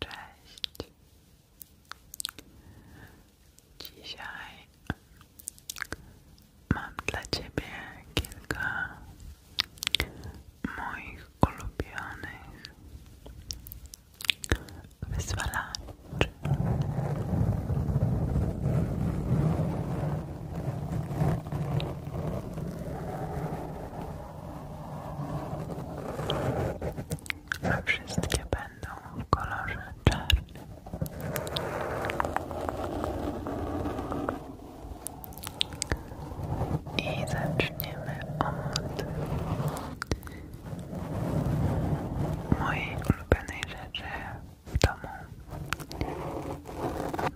Cześć. Dzisiaj mam dla Ciebie kilka moich ulubionych wyzwalaczy. A wszystkie będą w kolorze czarnym. I zaczniemy od mojej ulubionej rzeczy w domu.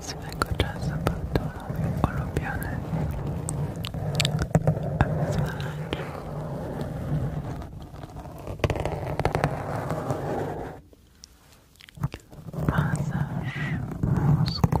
Swego czasu był to mój ulubiony amazmalacz. Masaż mózgu.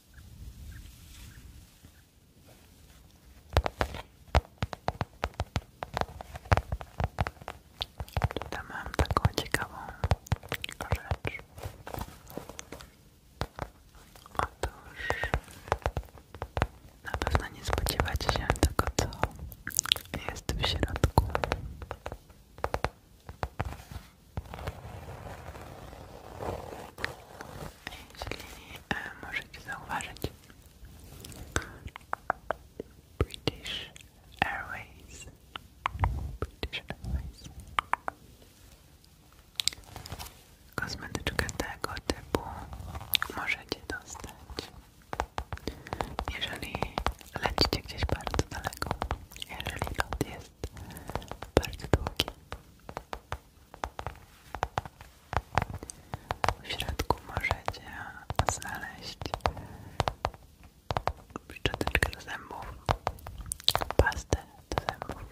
tam mam taką ciekawą rzecz. Otóż na nie spodziewacie się tego, co jest w środku. Jeśli E, możecie zauważyć British Airways British Airways Kosmetyczkę tego typu możecie dostać jeżeli lecicie gdzieś bardzo daleko jeżeli lot jest bardzo długi w środku możecie znaleźć szczoteczkę do zębów, pastę do zębów,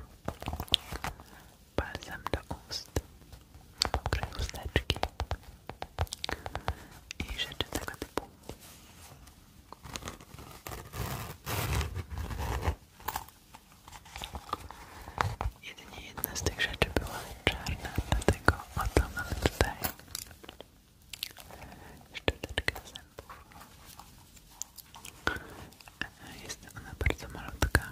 balsam do ust, pokryj usteczki i rzeczy tego Jedynie jedna z tych rzeczy była czarna, dlatego oto mamy tutaj szczoteczkę zębów. E, jest ona bardzo malutka.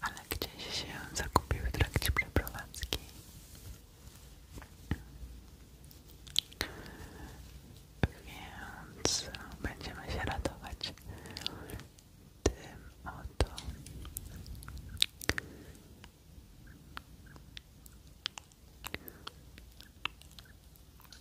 ale gdzieś się zagubił w trakcie przeprowadzki. Więc będziemy się radować tym oto.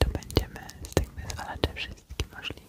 Tu będziemy z tych wyzwalaczy wszystkie możliwe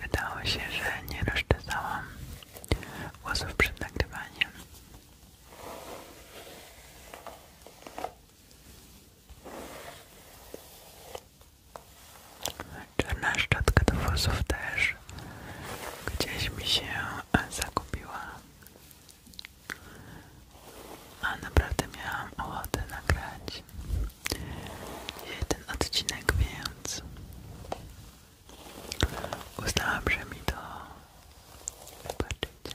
Wydało się, że nie rozczytałam głosów przed nagrywaniem. Czarna szczotka do włosów też gdzieś mi się a naprawdę miałam ochotę nagrać jeden odcinek, więc uznałam, że mi to wybaczycie.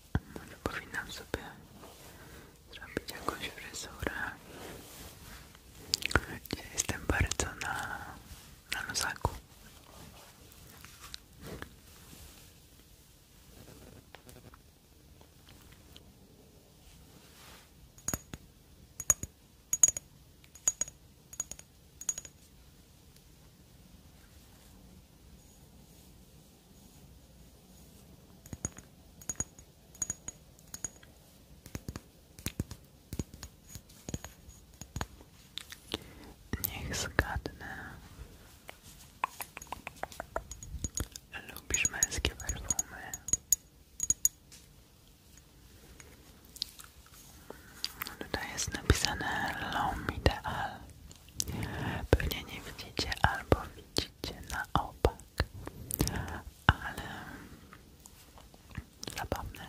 Może powinnam sobie zrobić jakąś fryzurę. Dzisiaj jestem bardzo na, na nosaku. Niech zgadnę. Lubisz męskie perfumy? to no, jest napisane L'Homme Ideal. Pewnie nie widzicie albo widzicie na opak, ale zabawne.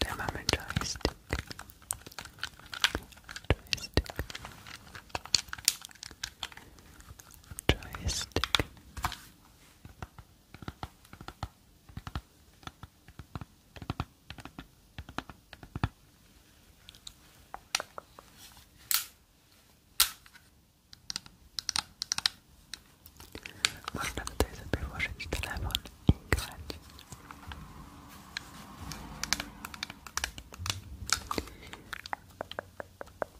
Damn, I'm a joystick. Joystick. Joystick. Można tutaj sobie włożyć telefon i grać.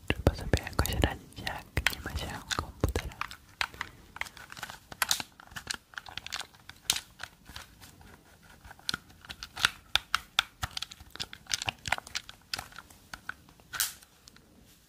Trzeba sobie jakoś radzić, jak nie ma się komputera.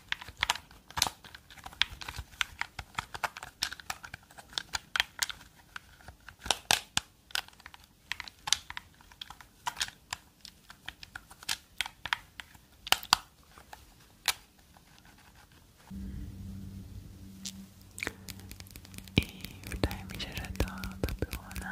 I wydaje mi się, że to, to było na